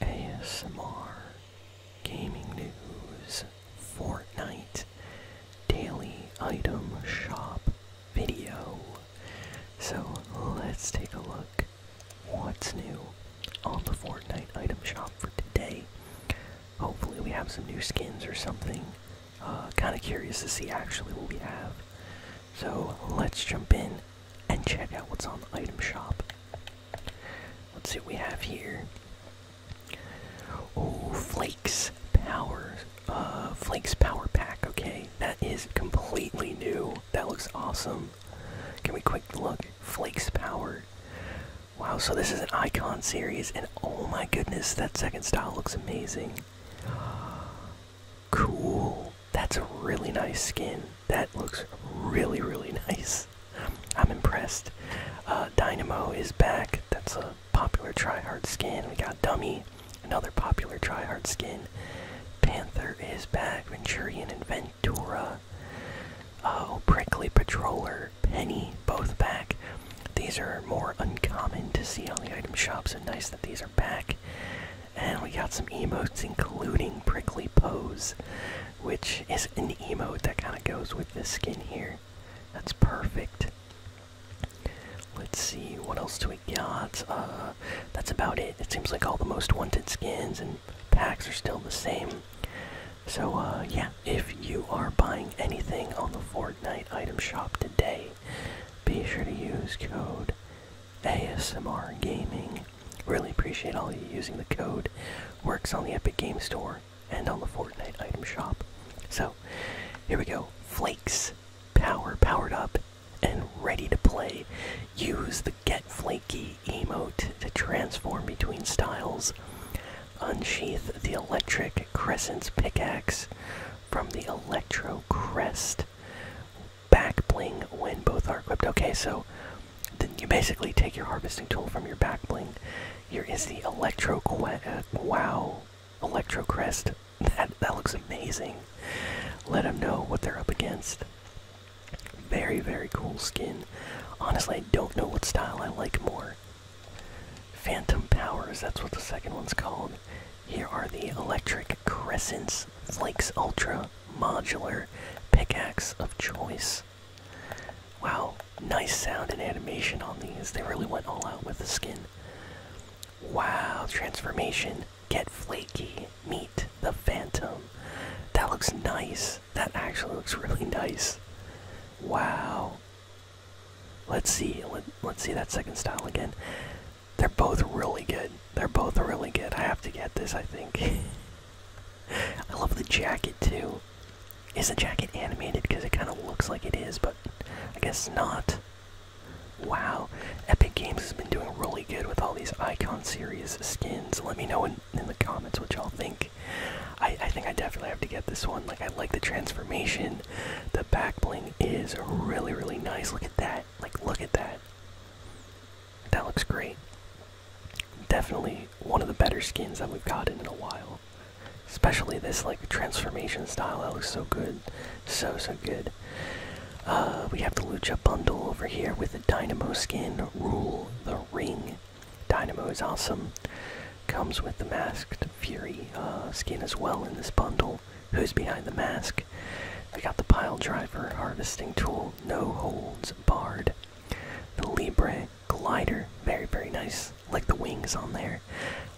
ASMR, gaming news, Fortnite, daily item shop video. So let's take a look what's new on the Fortnite item shop for today. Hopefully we have some new skins or something. Uh, kind of curious to see actually what we have. So let's jump in and check out what's on the item shop. Let's see what we have here. Oh, Flakes Power, uh, Flakes Power Pack. Okay, that is completely new. That looks awesome. Can we quick look? Flakes Power. Wow, so this is an icon series, and oh my goodness, that second style looks amazing. Cool that's a really nice skin. That looks really, really nice. I'm impressed. Uh, Dynamo is back. That's a popular tryhard skin. We got Dummy, another popular tryhard skin. Panther is back. Venturian and Ventura. Oh, Prickly Patroller, Penny, both back. These are more uncommon to see on the item shops. so nice that these are back. And we got some emotes, including Prickly Pose, which is an emote that kind of goes with this skin here. That's perfect. Let's see, what else do we got? Uh, that's about it. It seems like all the most wanted skins and packs are still the same. So, uh, yeah, if you are buying anything on the Fortnite item shop today, be sure to use code ASMR Gaming. Really appreciate all you using the code. Works on the Epic Game Store and on the Fortnite item shop. So, here we go. Flakes, power powered up, and ready to play. Use the Get Flaky emote to transform between styles. Unsheath the Electric Crescent's pickaxe from the Electro Crest back bling when both are equipped. Okay, so then you basically take your harvesting tool from your back bling. Here is the Electro uh, Wow Electro Crest. That that looks amazing. Let them know what they're up against. Very very cool skin. Honestly, I don't know what style I like more. Phantom Powers. That's what the second one's called. Here are the Electric Crescents Flakes Ultra modular pickaxe of choice. Wow, nice sound and animation on these. They really went all out with the skin. Wow, transformation. Get flaky. Meet the phantom. That looks nice. That actually looks really nice. Wow. Let's see. Let, let's see that second style again. They're both really good. They're both really good. I have to get this, I think. I love the jacket too. Is the jacket animated? Because it kind of looks like it is, but I guess not. Wow, Epic Games has been doing really good with all these Icon Series skins. Let me know in, in the comments what y'all think. I, I think I definitely have to get this one. Like, I like the transformation. The back bling is really, really nice. Look at that. Like, look at that. That looks great. Definitely one of the better skins that we've gotten in a while. Especially this like transformation style. That looks so good. So so good. Uh, we have the Lucha bundle over here with the Dynamo skin. Rule the ring. Dynamo is awesome. Comes with the masked Fury uh, skin as well in this bundle. Who's behind the mask? We got the pile driver harvesting tool no holds barred. The Libre glider, very very nice, like the wings on there.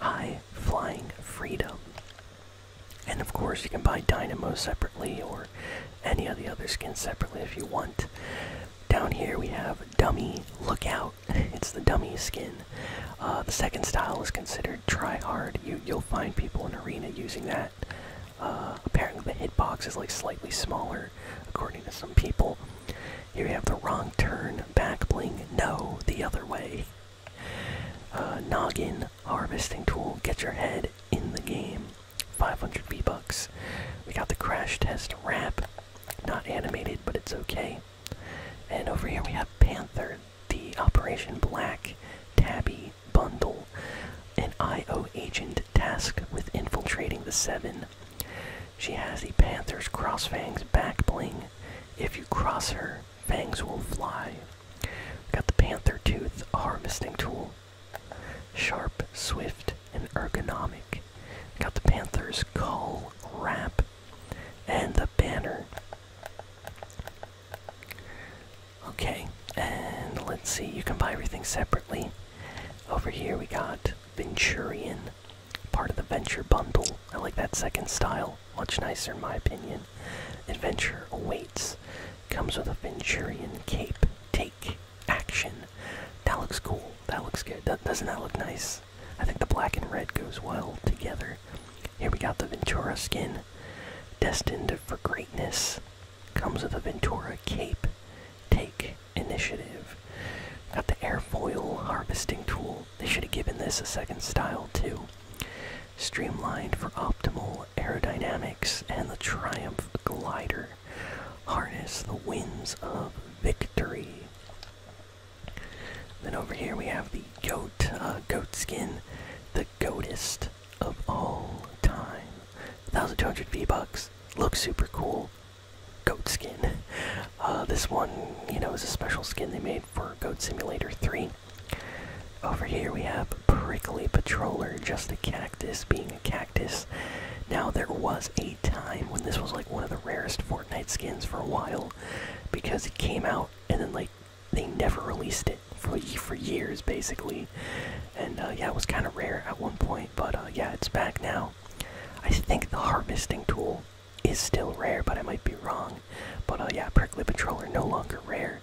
High flying freedom. And of course, you can buy Dynamo separately or any of the other skins separately if you want. Down here we have Dummy Lookout. It's the dummy skin. Uh, the second style is considered try hard. You you'll find people in arena using that apparently, uh, the hitbox is like slightly smaller, according to some people. Here we have the wrong turn, back bling, no, the other way. Uh, noggin, harvesting tool, get your head in the game. 500 V-Bucks. We got the crash test wrap, not animated, but it's okay. And over here we have Panther, the Operation Black, Tabby, bundle, an IO agent tasked with infiltrating the Seven. She has the Panther's Crossfangs backbling. If you cross her, fangs will fly. Got the Panther Tooth harvesting tool. Sharp, swift, and ergonomic. Got the Panther's Call Wrap and the Banner. Okay, and let's see, you can buy everything separately. Over here we got Venturian, part of the Venture Bundle. I like that second style, much nicer in my opinion. Adventure awaits. Comes with a Venturian cape. Take action. That looks cool. That looks good. doesn't that look nice? I think the black and red goes well together. Here we got the Ventura skin, destined for greatness. Comes with a Ventura Cape. Take initiative. Got the airfoil harvesting tool. They should have given this a second style too. Streamlined for optimal aerodynamics and the Triumph glider. Harness the winds of victory. Then over here we have the goat, uh, goat skin, the goatist of all time. 1200 V-Bucks. Looks super cool. Goat skin. Uh, this one, you know, is a special skin they made for Goat Simulator 3. Over here we have Prickly Patroller, just a cactus being a cactus. Now, there was a time when this was like one of the rarest Fortnite skins for a while because it came out and then, like, they never released it it for for years basically, and uh, yeah, it was kind of rare at one point, but uh, yeah, it's back now. I think the harvesting tool is still rare, but I might be wrong. But uh, yeah, prickly patroller no longer rare,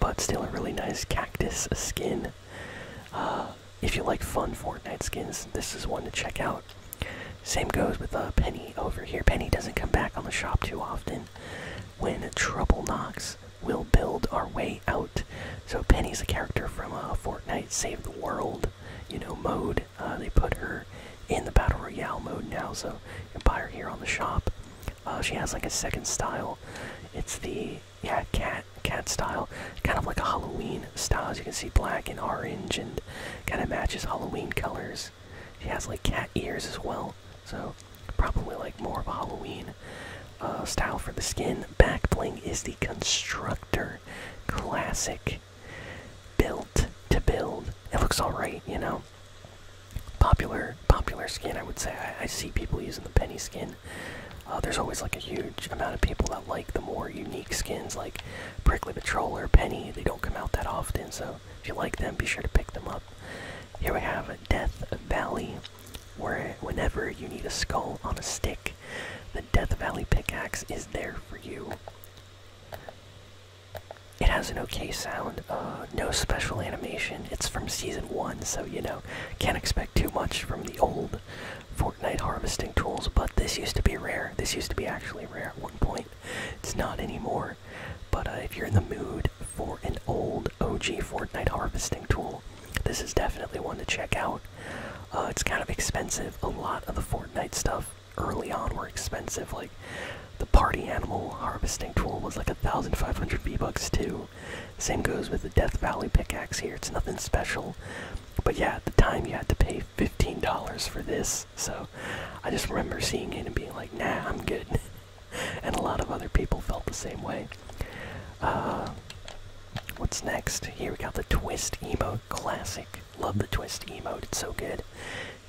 but still a really nice cactus skin. if you like fun Fortnite skins, this is one to check out. Same goes with the Penny over here. Penny doesn't come back on the shop too often, when trouble knocks, we'll build our way out. So Penny's a character from uh, Fortnite Save the World, you know, mode. Uh, they put her in the Battle Royale mode now, so you can buy her here on the shop. Uh, she has like a second style. It's the yeah cat cat style, kind of like a Halloween style. As you can see, black and orange, and kind of matches Halloween colors. She has like cat ears as well, so probably like more of a Halloween uh, style for the skin. Back bling is the constructor classic, built to build. It looks alright, you know. Popular, popular skin. I would say I, see people using the penny skin. Uh, there's always like a huge amount of people that like the more unique skins, like Prickly Patrol or Penny. They don't come out that often, so if you like them, be sure to pick them up. Here we have Death Valley. Where, whenever you need a skull on a stick, the Death Valley pickaxe is there for you. It has an okay sound, uh, no special animation. It's from season one, so you know, can't expect too much from the old Fortnite harvesting tools. But this used to be rare. This used to be actually rare at one point. It's not anymore. But uh, if you're in the mood for an old OG Fortnite harvesting tool. This is definitely one to check out. Uh, it's kind of expensive. A lot of the Fortnite stuff early on were expensive. Like the party animal harvesting tool was like a thousand five hundred V bucks too. Same goes with the Death Valley pickaxe here. It's nothing special, but yeah, at the time you had to pay fifteen dollars for this. So I just remember seeing it and being like, "Nah, I'm good." and a lot of other people felt the same way. Uh, what's next? Here we got the twist emo classic. Love the twist emo. It's so good.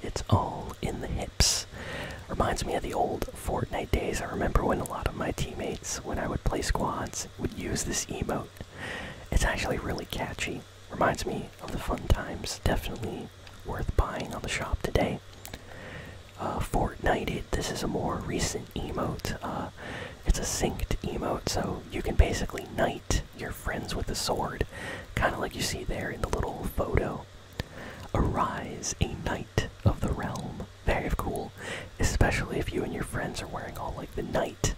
It's all in the hips. Reminds me of the old Fortnite days. I remember when a lot of my teammates, when I would play squads, would use this emo. It's actually really catchy. Reminds me of the fun times. Definitely worth buying on the shop today uh, This is a more recent emote. Uh, it's a synced emote, so you can basically knight your friends with a sword, kind of like you see there in the little photo. Arise, a knight of the realm. Very cool, especially if you and your friends are wearing all like the knight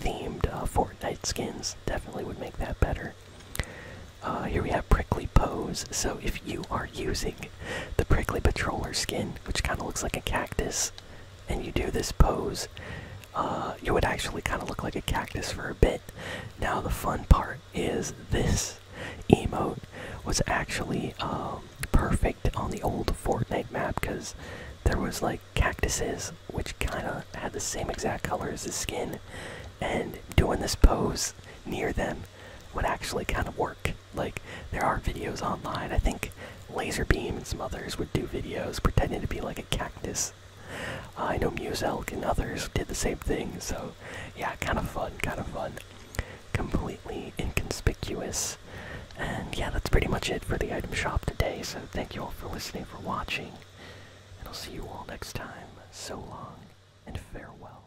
themed uh, Fortnite skins. Definitely would make that better. Uh, here we have prickly pose. So if you are using the prickly patroller skin, which kind of looks like a cactus, and you do this pose, uh, you would actually kind of look like a cactus for a bit. Now, the fun part is this emote was actually um, perfect on the old Fortnite map because there was like cactuses which kind of had the same exact color as the skin, and doing this pose near them would actually kind of work. Like, there are videos online. I think Laserbeam and some others would do videos pretending to be like a cactus. Uh, I know Muse Elk and others did the same thing, so yeah, kind of fun, kind of fun. Completely inconspicuous. And yeah, that's pretty much it for the item shop today, so thank you all for listening, for watching, and I'll see you all next time. So long, and farewell.